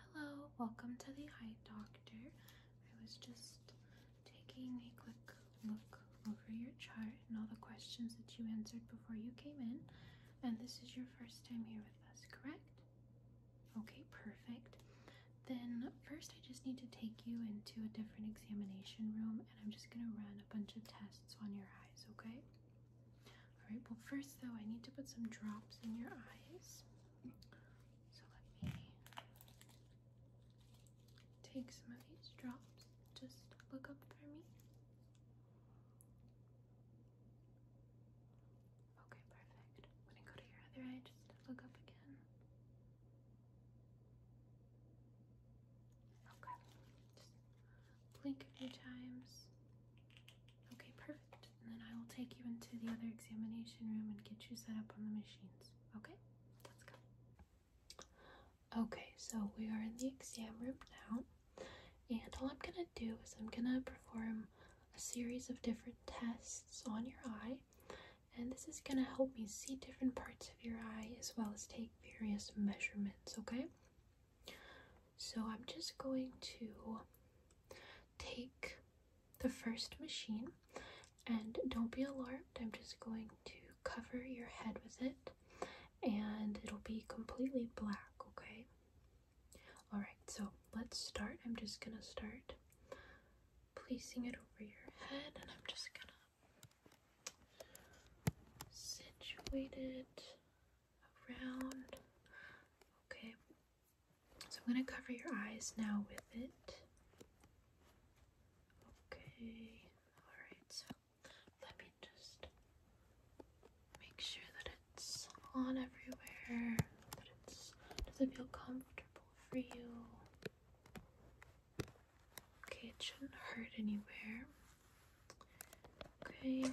Hello, welcome to the eye doctor. I was just taking a quick look over your chart and all the questions that you answered before you came in. And this is your first time here with us, correct? Okay, perfect. Then, first, I just need to take you into a different examination room and I'm just gonna run a bunch of tests on your eyes, okay? Alright, well, first, though, I need to put some drops in your eyes. So let me take some of these drops. Just look up for me. Okay, perfect. I'm gonna go to your other eye just look up again. Okay. blink a few times. Okay, perfect. And then I will take you into the other examination room and get you set up on the machines. Okay, let's go. Okay, so we are in the exam room now. And all I'm going to do is I'm going to perform a series of different tests on your eye. And this is going to help me see different parts of your eye as well as take various measurements, okay? So I'm just going to take the first machine and don't be alarmed. I'm just going to cover your head with it and it'll be completely black, okay? Alright, so let's start. I'm just gonna start placing it over your head and I'm just gonna situate it around. Okay, so I'm going to cover your eyes now with it. Okay, alright, so let me just make sure that it's on everywhere, that it's, does it feel comfortable for you? Okay, it shouldn't hurt anywhere. Okay.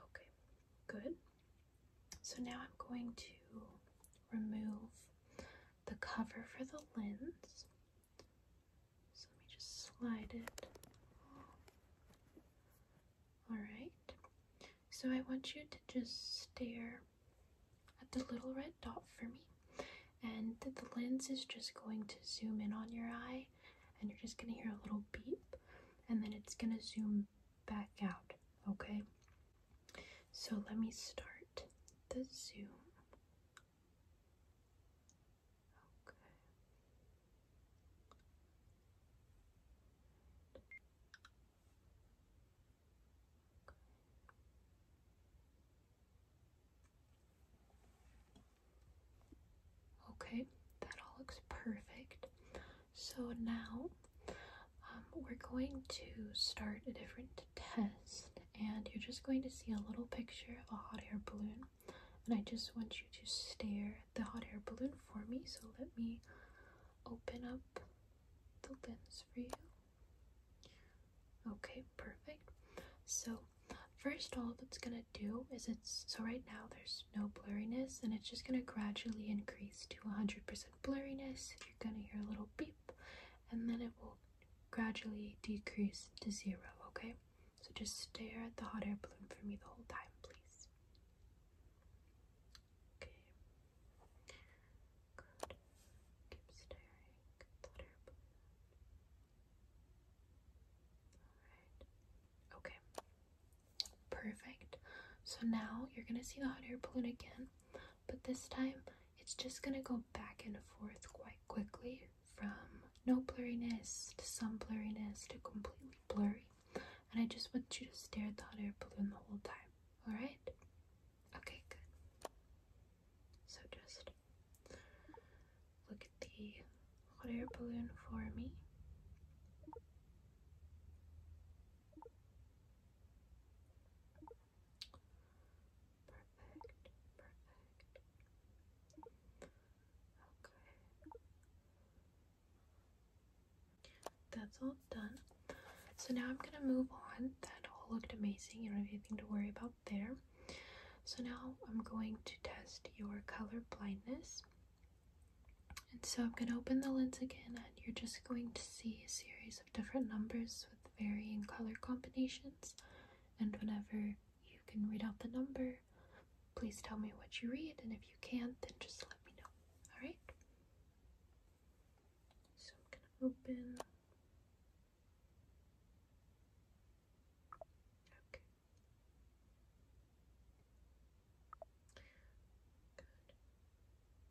Okay, good. So now I'm going to remove the cover for the lens. So let me just slide it. Alright, so I want you to just stare at the little red dot for me. And the lens is just going to zoom in on your eye, and you're just going to hear a little beep, and then it's going to zoom back out, okay? So let me start the zoom. Okay. that all looks perfect. So now um, we're going to start a different test, and you're just going to see a little picture of a hot air balloon. And I just want you to stare at the hot air balloon for me. So let me open up the lens for you. Okay, perfect. So first all that's gonna do is it's so right now there's no blurriness and it's just gonna gradually increase to 100% blurriness, you're gonna hear a little beep, and then it will gradually decrease to zero, okay? So just stare at the hot air balloon for me the whole time, please. Okay. Good. Keep staring hot air balloon. Alright. Okay. Perfect. So now you're going to see the hot air balloon again, but this time it's just going to go back and forth quite quickly from no blurriness to some blurriness to completely blurry. And I just want you to stare at the hot air balloon the whole time. Alright? Okay, good. So just look at the hot air balloon for me. Okay. That's all done. So now I'm gonna move on. That all looked amazing. You don't have anything to worry about there. So now I'm going to test your color blindness. And so I'm going to open the lens again, and you're just going to see a series of different numbers with varying color combinations. And whenever you can read out the number, please tell me what you read. And if you can't, then just let me know. Alright? So I'm going to open. Okay. Good.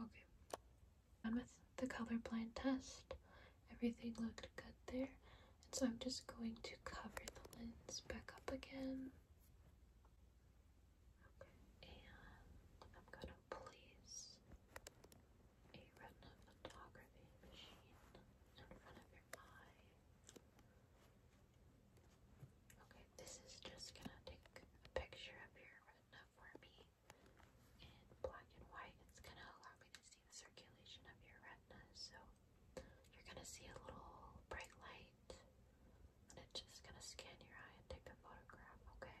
Okay. with the colorblind test. Everything looked good there. And so I'm just going to cover the lens back up again. Okay, and I'm going to place a retina machine in front of your eye. Okay, this is just going to take a picture of your retina for me in black and white, it's going to allow me to see the circulation of your retina. So you're going to see a little bright light, and it's just going to scan your eye and take a photograph, okay?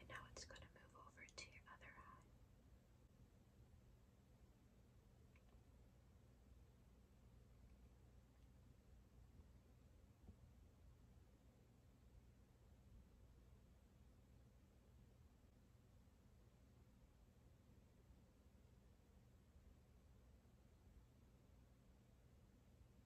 And now it's going to move over to your other eye.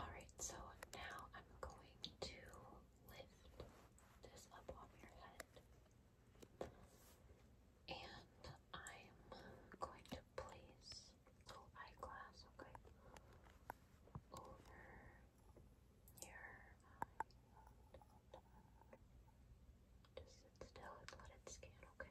Alright, so now I'm going to lift this up off your head. And I'm going to place little eyeglass, okay, over your eye. Just sit still and let it scan, okay?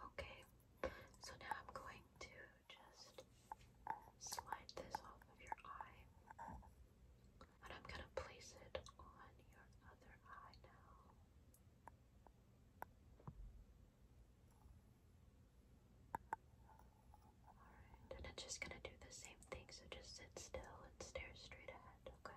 Okay, so now I'm going to just slide this off of your eye, and I'm going to place it on your other eye now and it's just gonna do the same thing, so just sit still and stare straight ahead, okay?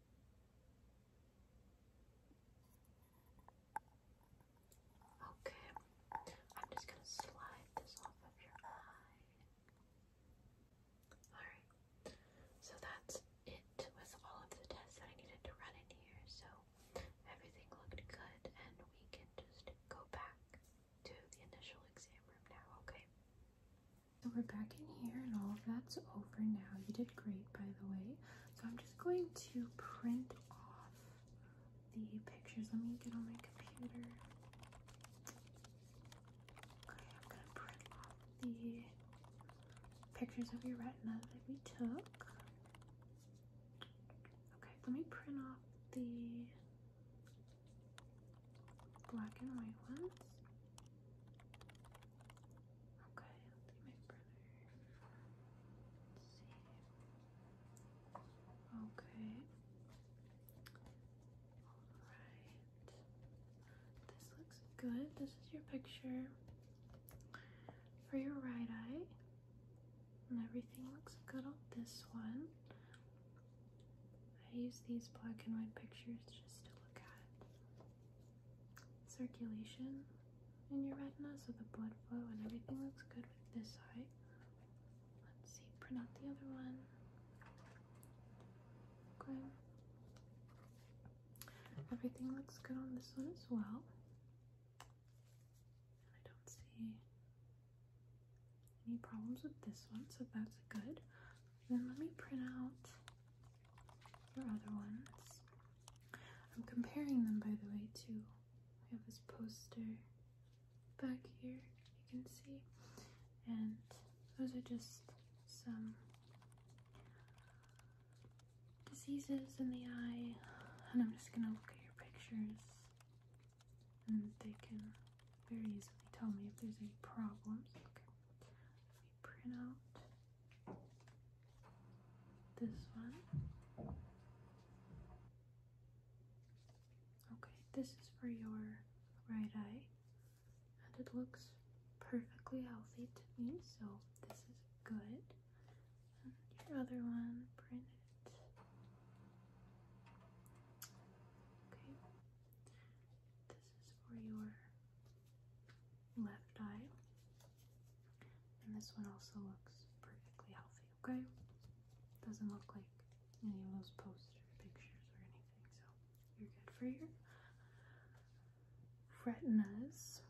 Okay, I'm just going to slide this off of your eye. Alright, so that's it with all of the tests that I needed to run in here. So everything looked good, and we can just go back to the initial exam room now, okay? So we're back in here and all of that's over now. You did great, by the way. So I'm just going to print off the pictures. Let me get on my computer. Okay, I'm going to print off the pictures of your retina that we took. Okay, let me print off the black and white ones. Okay, I'll do my brother. Okay. Alright. This looks good. This is your picture for your right eye. And everything looks good on this one. I use these black and white pictures just to look at circulation in your retina, so the blood flow and everything looks good with this eye. Let's see, print out the other one. Okay. Everything looks good on this one as well. I don't see any problems with this one, so that's good. then let me print out or other ones. I'm comparing them, by the way, too. I have this poster back here, you can see, and those are just some diseases in the eye. And I'm just gonna look at your pictures, and they can very easily tell me if there's any problems print out this one. Okay, this is for your right eye, and it looks perfectly healthy to me, so this is good. your other one, print it. Okay, this is for your left eye. And this one also looks perfectly healthy, okay? Doesn't look like any of those posts or pictures or anything, so you're good for your retinas.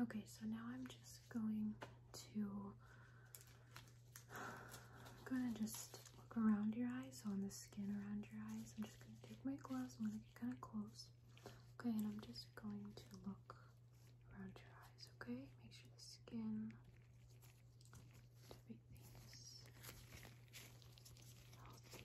Okay, so now I'm just going to I'm gonna just look around your eyes So on this around your eyes. I'm just going to take my gloves. I'm going to get kind of close. Okay, and I'm just going to look around your eyes, okay? Make sure the skin, everything's healthy.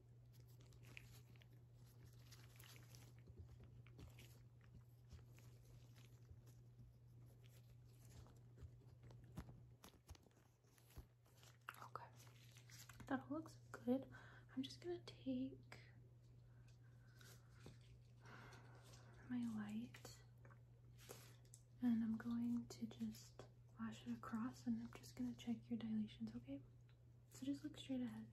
Okay, that all looks good. I'm just gonna take my light and I'm going to just flash it across and I'm just gonna check your dilations, okay? So just look straight ahead.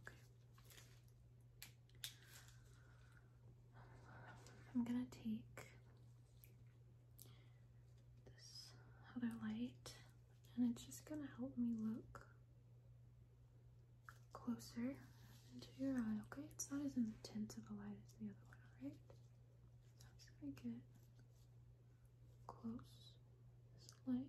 Okay. I'm going to take this other light and it's just going to help me look closer into your eye, okay? It's not as intense of a light as the other one, alright? So I'm close this light. stare straight ahead, please.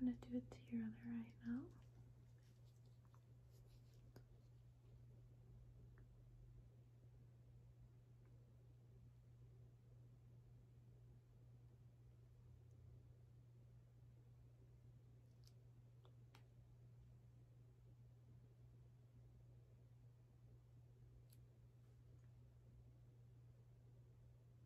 I'm going to do it to your other eye now.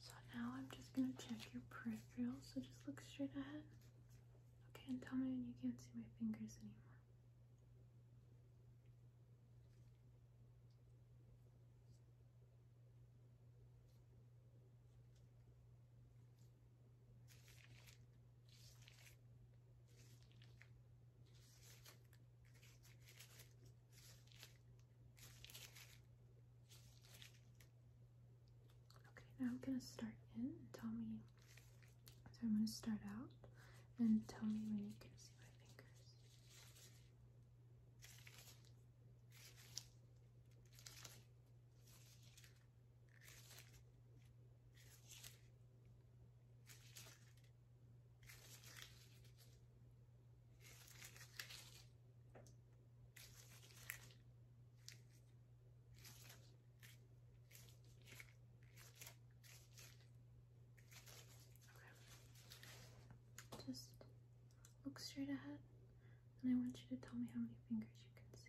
So now I'm just gonna check your peripherals. So just look straight ahead. Okay, and tell me when you can't see my fingers anymore. Okay, now I'm gonna start in tell me. So I'm gonna start out and tell me when you can see my fingers. Just look straight ahead, and I want you to tell me how many fingers you can see.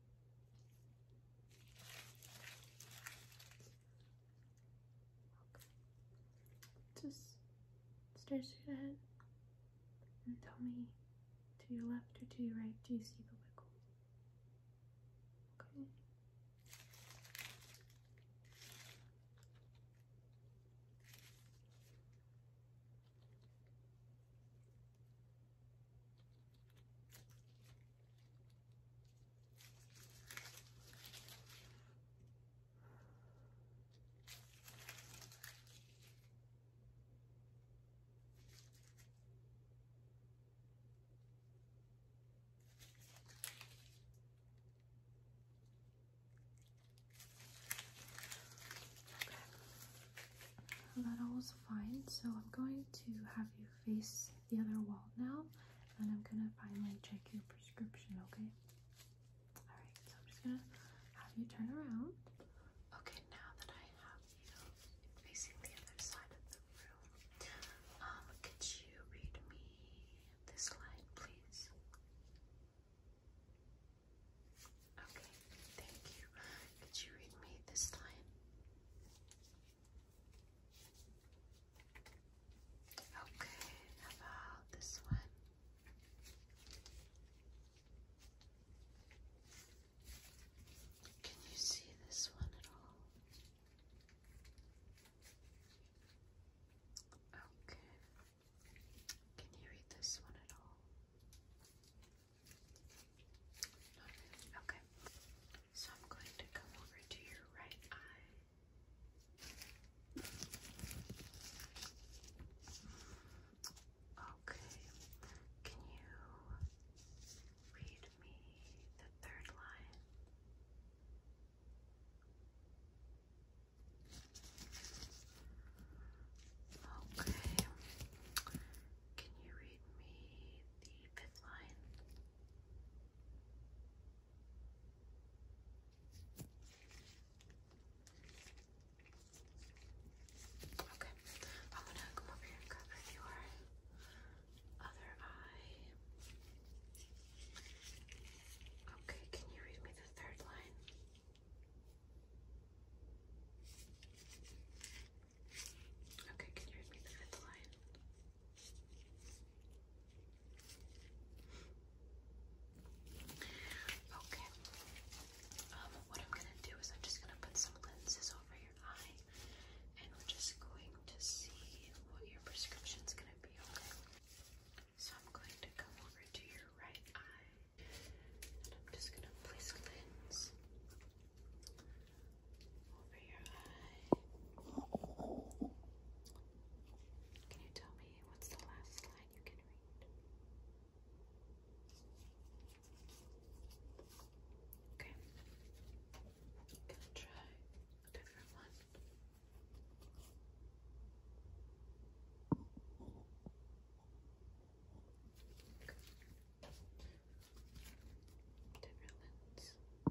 Just stare straight ahead and tell me to your left or to your right, do you see the wiggles? Okay. That was fine, so I'm going to have you face the other wall now, and I'm gonna finally check your prescription, okay? Alright, so I'm just gonna have you turn around. Okay, now that I have you facing the other side of the room, um, could you read me this line, please? Okay, thank you. Could you read me this line? Okay, about this one? Can you see this one at all? Okay. Can you read this one at all? Okay. So I'm going to come over to your right eye. Okay. Can you read me the third line? Okay. Can you read me the fifth line? Okay, I'm gonna come over here and cover your other eye. Okay, can you read me the third line? Okay, can you read me the fifth line? Okay. Um, what I'm gonna do is I'm just gonna put some lenses over your eye, and we're just going to see what your prescription's gonna be. Okay. So I'm going to come over to your right eye, and I'm just gonna place a lens over Can you tell me what's the last line you can read? Okay. try different one. Different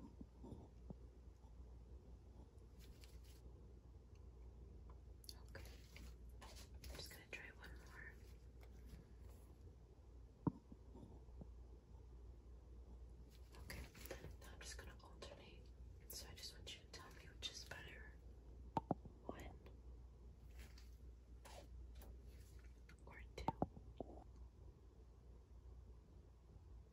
lens. Okay. I'm just going to try one more. Okay. Now I'm just going to alternate. So I just want you to tell me which is better. One or two.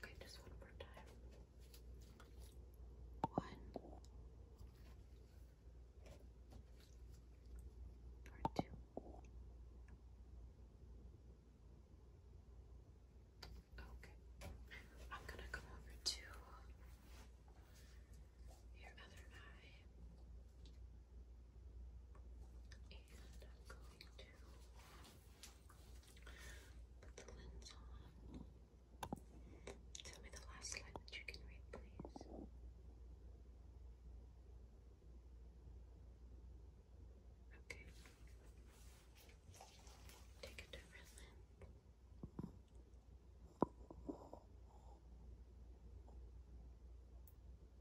Okay, just one more time. One or two. Okay. I'm gonna come over to your other eye. And I'm going to put the lens on. Tell me the last slide that you can read, please. Okay. Take a different lens.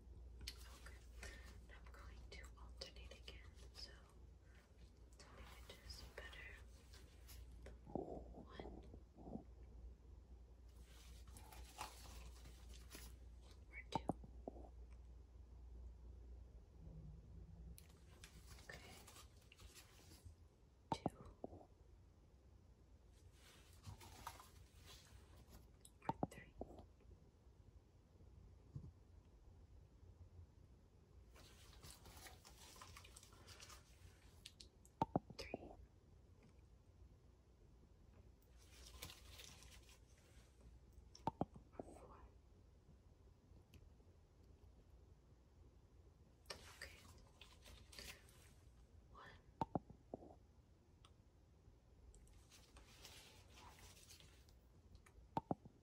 Okay. And I'm going to alternate again. So to make better. One. Or two. Okay. Two. Or three. Three. Four. Okay. One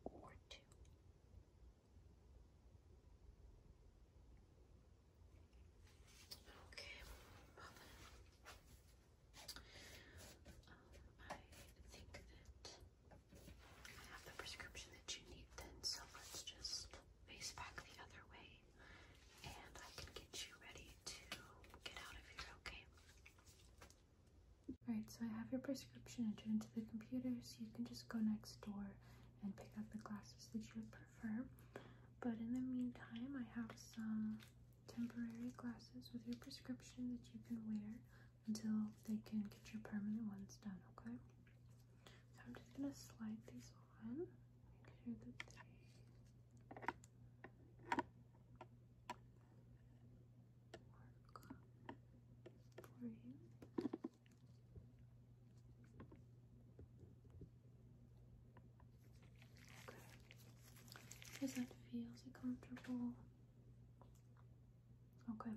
or Okay, um, I think that I have the prescription that you need then, so let's just face back the other way and I can get you ready to get out of here, okay? Alright, so I have your prescription entered into the computer, so you can just go next door and pick out the glasses that you would prefer. But in the meantime, I have some temporary glasses with your prescription that you can wear until they can get your permanent ones done, okay? So I'm just gonna slide these on. Okay. Does that feel is comfortable? Okay.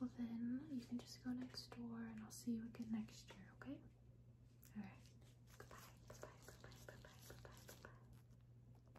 Well then you can just go next door and I'll see you again next year, okay? Alright. Goodbye. Goodbye. Goodbye. Goodbye. Goodbye. Goodbye.